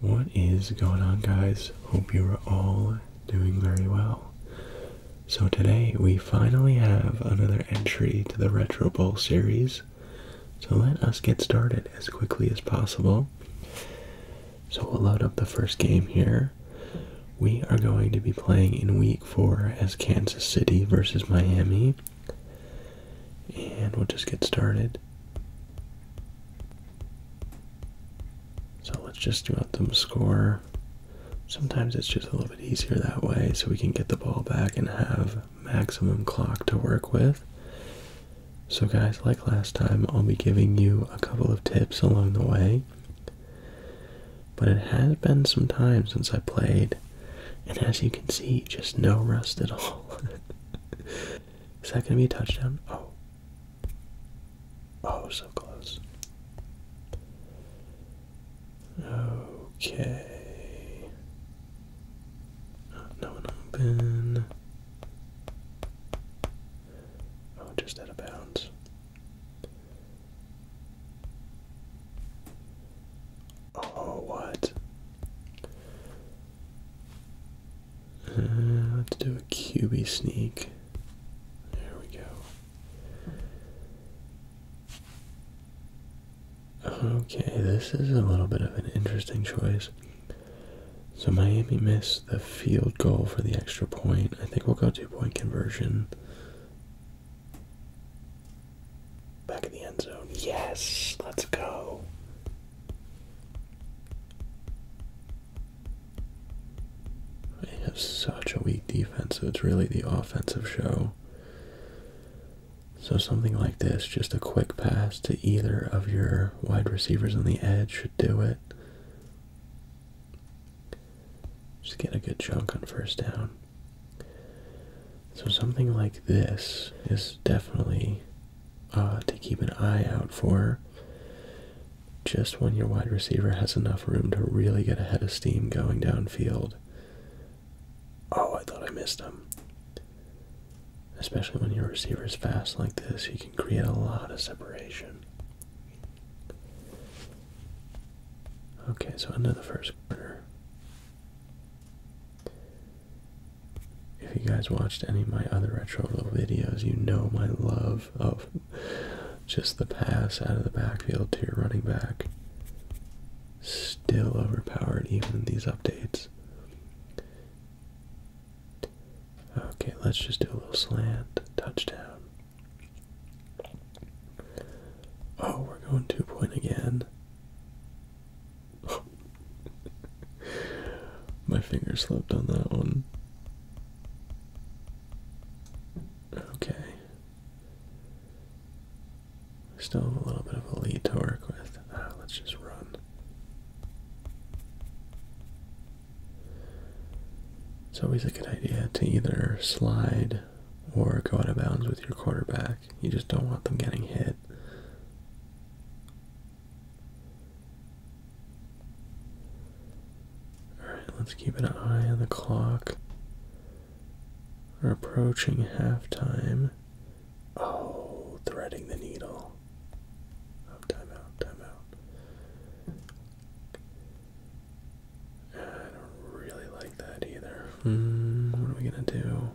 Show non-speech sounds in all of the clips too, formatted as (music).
What is going on guys? Hope you are all doing very well. So today we finally have another entry to the Retro Bowl series. So let us get started as quickly as possible. So we'll load up the first game here. We are going to be playing in week four as Kansas City versus Miami. And we'll just get started. So let's just do up them score. Sometimes it's just a little bit easier that way so we can get the ball back and have maximum clock to work with. So guys, like last time, I'll be giving you a couple of tips along the way. But it has been some time since I played, and as you can see, just no rust at all. (laughs) Is that going to be a touchdown? Oh. Oh, so close. Okay. Oh, no open. Oh, just out of bounds. Oh, what? Uh, let's do a QB sneak. There we go. Okay, this is a little bit of an interesting choice. So Miami missed the field goal for the extra point. I think we'll go two point conversion. Back in the end zone. Yes, let's go. They have such a weak defense, so it's really the offensive show. So something like this, just a quick pass to either of your wide receivers on the edge should do it. Just get a good chunk on first down. So something like this is definitely uh, to keep an eye out for just when your wide receiver has enough room to really get ahead of steam going downfield. Oh, I thought I missed him. Especially when your receiver is fast like this, you can create a lot of separation. Okay, so into the first quarter. If you guys watched any of my other retroville videos, you know my love of just the pass out of the backfield to your running back. Still overpowered even in these updates. Okay, let's just do a little slant. Touchdown. Oh, we're going two point again. My finger slipped on that one. Okay. I still have a little bit of a lead to work with. Ah, let's just run. It's always a good idea to either slide or go out of bounds with your quarterback. You just don't want them getting hit. Alright, let's keep an eye on the clock. We're approaching halftime. Oh, threading the needle. Oh, time I don't really like that either. Hmm, what are we gonna do?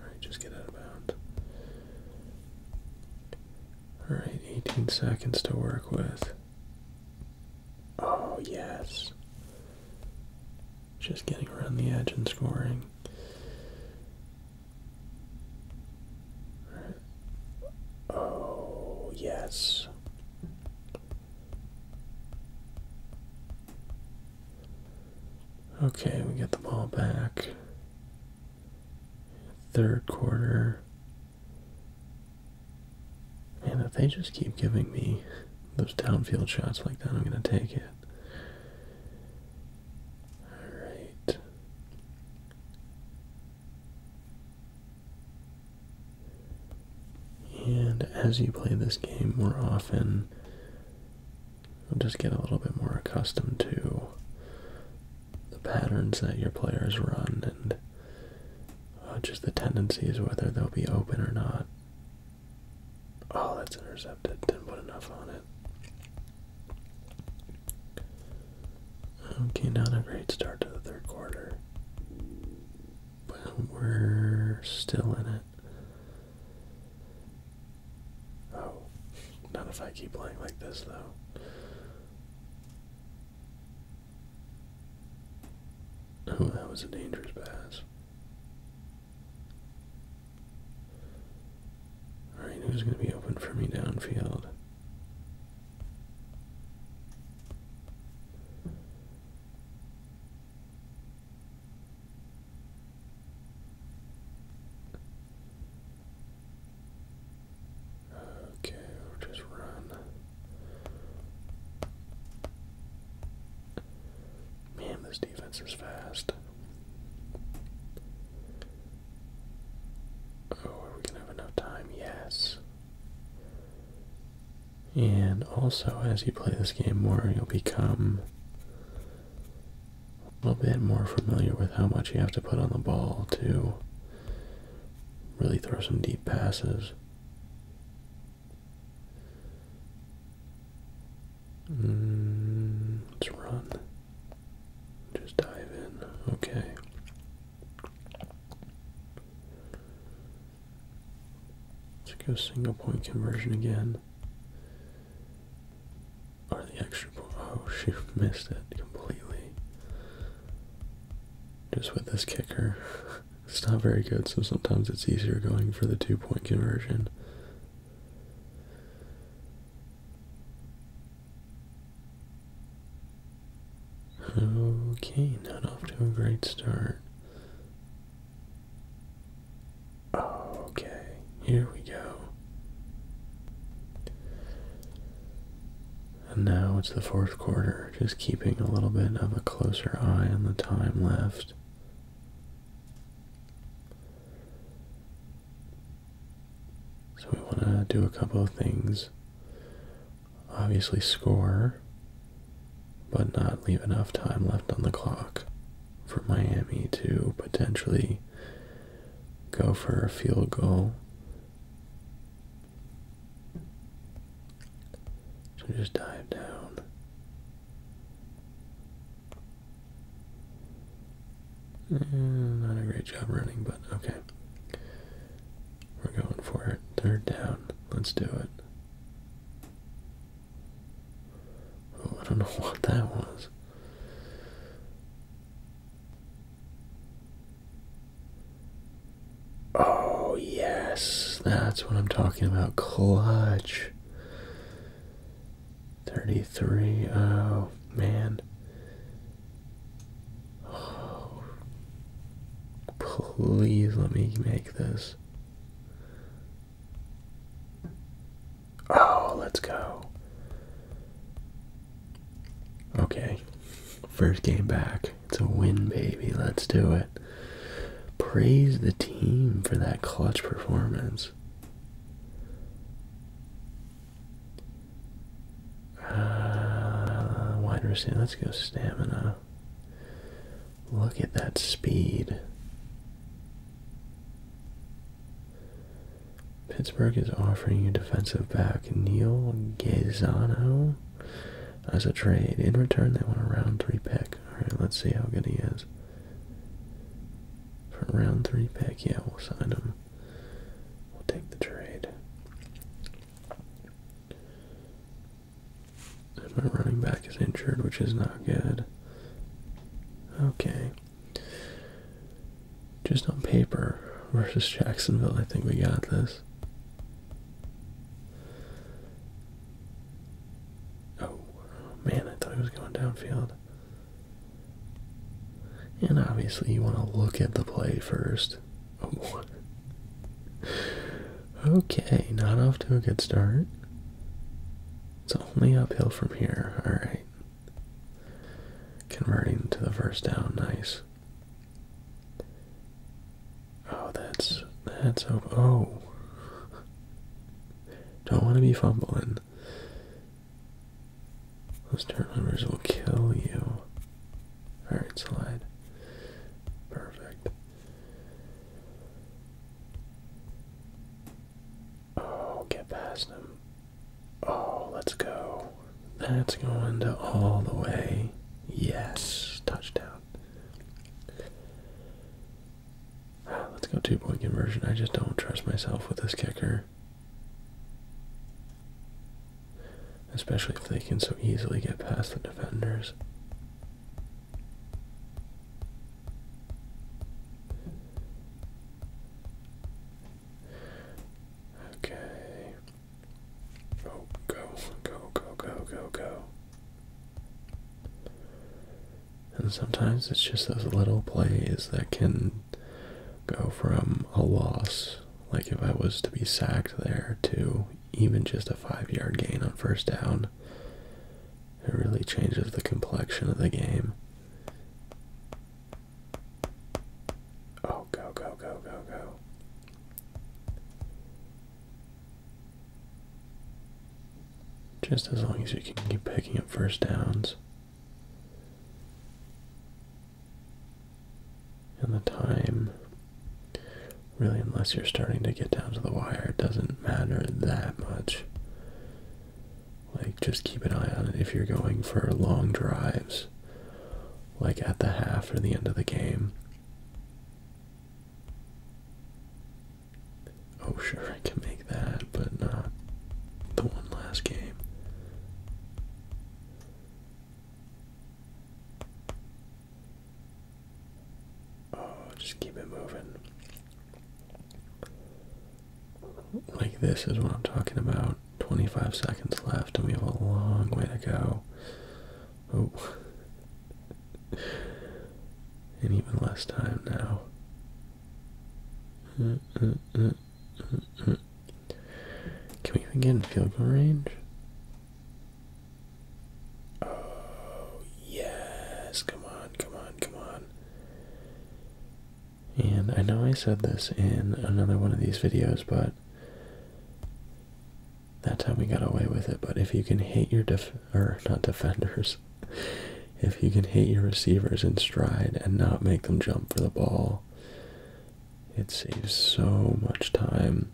Alright, just get out of bounds. Alright, 18 seconds to work with. Oh, yes. Just getting around the edge and scoring. Oh, yes. Okay, we get the ball back. Third quarter. And if they just keep giving me those downfield shots like that, I'm going to take it. Alright. And as you play this game more often, you'll just get a little bit more accustomed to the patterns that your players run and uh, just the tendencies, whether they'll be open or not. Oh, that's intercepted. Didn't put enough on it. Okay, not a great start to the third quarter but we're still in it. Oh, not if I keep playing like this, though. Oh, that was a dangerous pass. Alright, who's going to be open for me downfield? Okay, we just run. Man, this defense is fast. Oh, are we gonna have enough time? Yes. And also, as you play this game more, you'll become a little bit more familiar with how much you have to put on the ball to really throw some deep passes. Mm, let's run. Just dive in. Okay. Let's go single point conversion again. Or the extra point. Oh (laughs) shoot, missed it completely. Just with this kicker. (laughs) it's not very good, so sometimes it's easier going for the two point conversion. Okay, not off to a great start. Okay, here we go. And now it's the fourth quarter, just keeping a little bit of a closer eye on the time left. So we want to do a couple of things obviously score, but not leave enough time left on the clock for Miami to potentially go for a field goal. So just dive down. Mm, not a great job running, but okay. We're going for it. Third down. Let's do it. Oh, I don't know (laughs) what that was. Oh, yes. That's what I'm talking about. Clutch. 33. Oh, man please let me make this. Oh, let's go. Okay. First game back. It's a win, baby. Let's do it. Praise the team for that clutch performance. Uh, wide receiver. Let's go stamina. Look at that speed. Pittsburgh is offering you defensive back Neil Gazzano as a trade. In return, they want a round three pick. All right, let's see how good he is. For round three pick, yeah, we'll sign him. We'll take the trade my running back is injured, which is not good. Okay. Just on paper versus Jacksonville, I think we got this. Oh, man, I thought he was going downfield. And obviously, you want to look at the play first. Okay, not off to a good start. It's only uphill from here. Alright. Converting to the first down, nice. Oh, that's that's oh. Don't want to be fumbling. Those turnovers will kill you. All right, slide. Perfect. Oh, get past him. Oh, let's go. That's going to all the way. Yes, touchdown. Ah, let's go two point conversion. I just don't trust myself with this kicker especially if they can so easily get past the defenders. Okay. Oh, go, go, go, go, go, go. And sometimes it's just those little plays that can go from a loss like if I was to be sacked there to even just a five yard gain on first down, it really changes the complexion of the game. Oh, go, go, go, go, go. Just as long as you can keep picking up first downs. And the time, really, unless you're starting to get down to the wire, it doesn't matter that much. Like, just keep an eye on it if you're going for long drives, like at the half or the end of the game. Oh, sure, I can make that, but not the one last game. Oh, just keep it moving. Like this is what I'm talking about. 25 seconds left and we have a long way to go. Oh. (laughs) and even less time now. (laughs) Can we even get in field goal range? Oh, yes. Come on, come on, come on. And I know I said this in another one of these videos, but that time we got away with it. But if you can hit your def or not defenders, (laughs) if you can hit your receivers in stride and not make them jump for the ball, it saves so much time.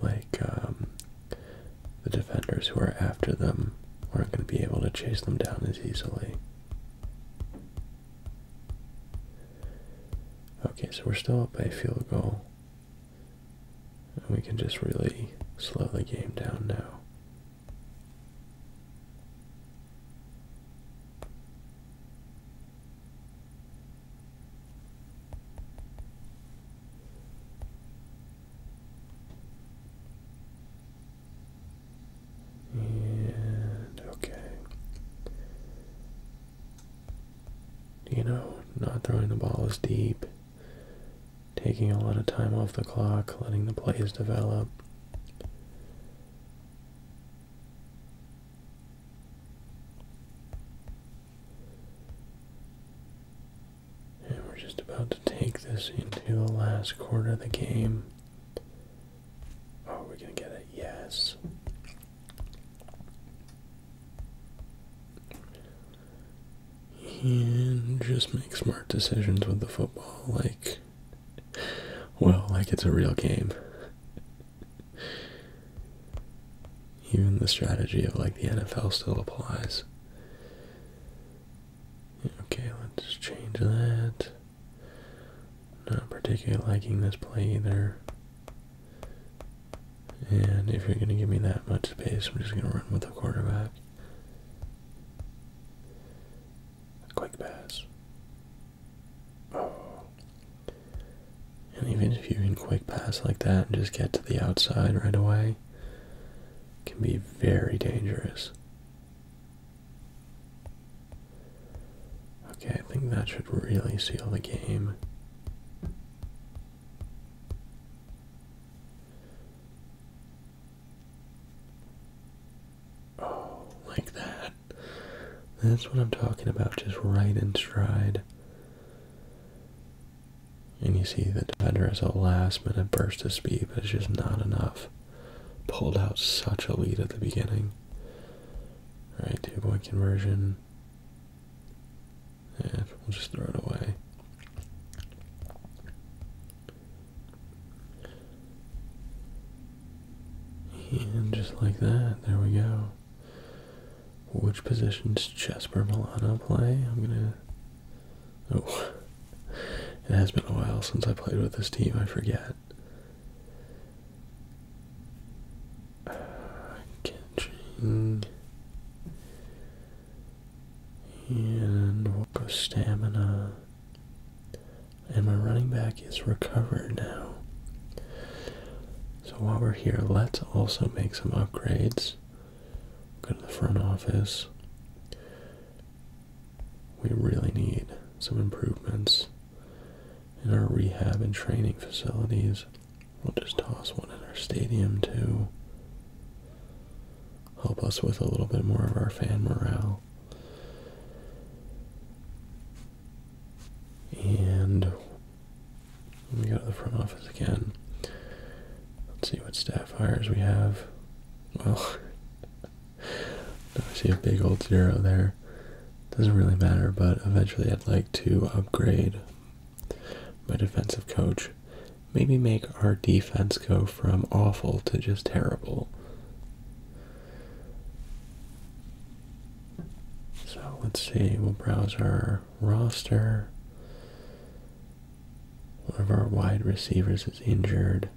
Like, um, the defenders who are after them aren't going to be able to chase them down as easily. Okay, so we're still up by a field goal. And we can just really slow the game down now. And okay. You know, not throwing the ball as deep, taking a lot of time off the clock, letting the plays develop. And we're just about to take this into the last quarter of the game. Oh, we're going to get it. Yes. And just make smart decisions with the football, like (laughs) well, like it's a real game. Even the strategy of like the NFL still applies. Okay, let's change that. Not particularly liking this play either. And if you're going to give me that much space, I'm just going to run with the quarterback. quick pass. Uh, and even if you can quick pass like that and just get to the outside right away, can be very dangerous. Okay, I think that should really seal the game. Oh, like that. That's what I'm talking about, just right in stride. And you see the defender has a last minute burst of speed, but it's just not enough. Pulled out such a lead at the beginning. All right, two point conversion. Yeah, we'll just throw it away. And just like that, there we go. Which positions Jesper Milano play? I'm gonna. Oh, (laughs) it has been a while since I played with this team. I forget. Uh, and we'll go stamina and my running back is recovered now. So while we're here, let's also make some upgrades. Go to the front office. We really need some improvements in our rehab and training facilities. We'll just toss one in our stadium too. Help us with a little bit more of our fan morale. And let me go to the front office again. Let's see what staff hires we have. Well, (laughs) I see a big old zero there. Doesn't really matter, but eventually I'd like to upgrade my defensive coach. Maybe make our defense go from awful to just terrible. So let's see, we'll browse our roster. One of our wide receivers is injured.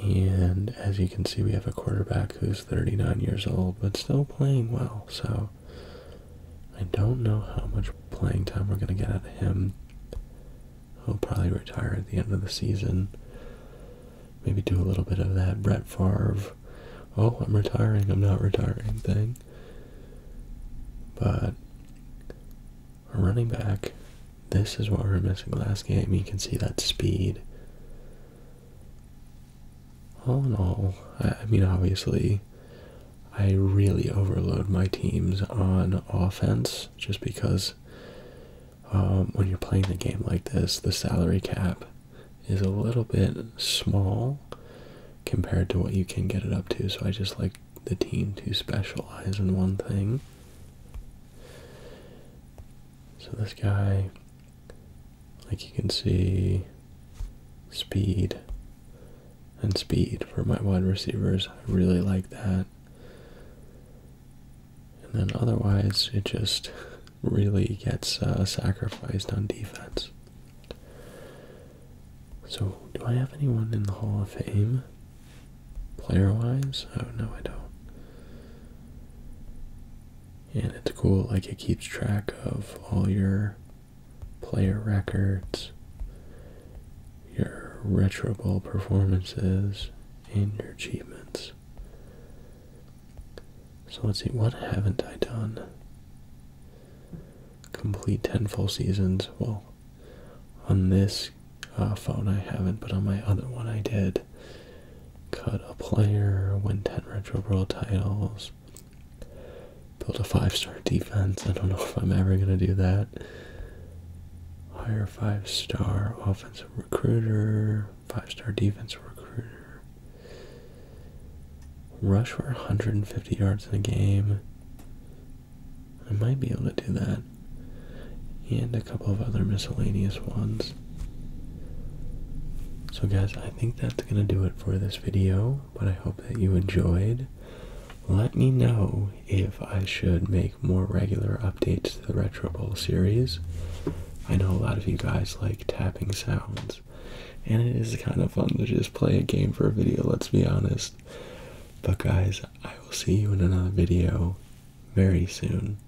And as you can see, we have a quarterback who's 39 years old, but still playing well. So I don't know how much playing time we're going to get out of him i will probably retire at the end of the season. Maybe do a little bit of that Brett Favre, oh, I'm retiring, I'm not retiring thing. But a running back, this is what we are missing last game. You can see that speed. All in all, I mean, obviously, I really overload my teams on offense just because um, when you're playing a game like this, the salary cap is a little bit small compared to what you can get it up to. So I just like the team to specialize in one thing. So this guy, like you can see, speed, and speed for my wide receivers. I really like that. And then otherwise, it just (laughs) really gets uh, sacrificed on defense. So, do I have anyone in the Hall of Fame? Player wise? Oh, no, I don't. And it's cool, like, it keeps track of all your player records your retro ball performances and your achievements. So let's see, what haven't I done? Complete 10 full seasons. Well, on this uh, phone I haven't, but on my other one I did. Cut a player, win 10 Retro Brawl titles, build a 5 star defense. I don't know (laughs) if I'm ever going to do that. Hire five star offensive recruiter, five star defensive recruiter. Rush for 150 yards in a game. I might be able to do that. And a couple of other miscellaneous ones. So guys, I think that's going to do it for this video, but I hope that you enjoyed. Let me know if I should make more regular updates to the Retro Bowl series. I know a lot of you guys like tapping sounds, and it is kind of fun to just play a game for a video, let's be honest. But guys, I will see you in another video very soon.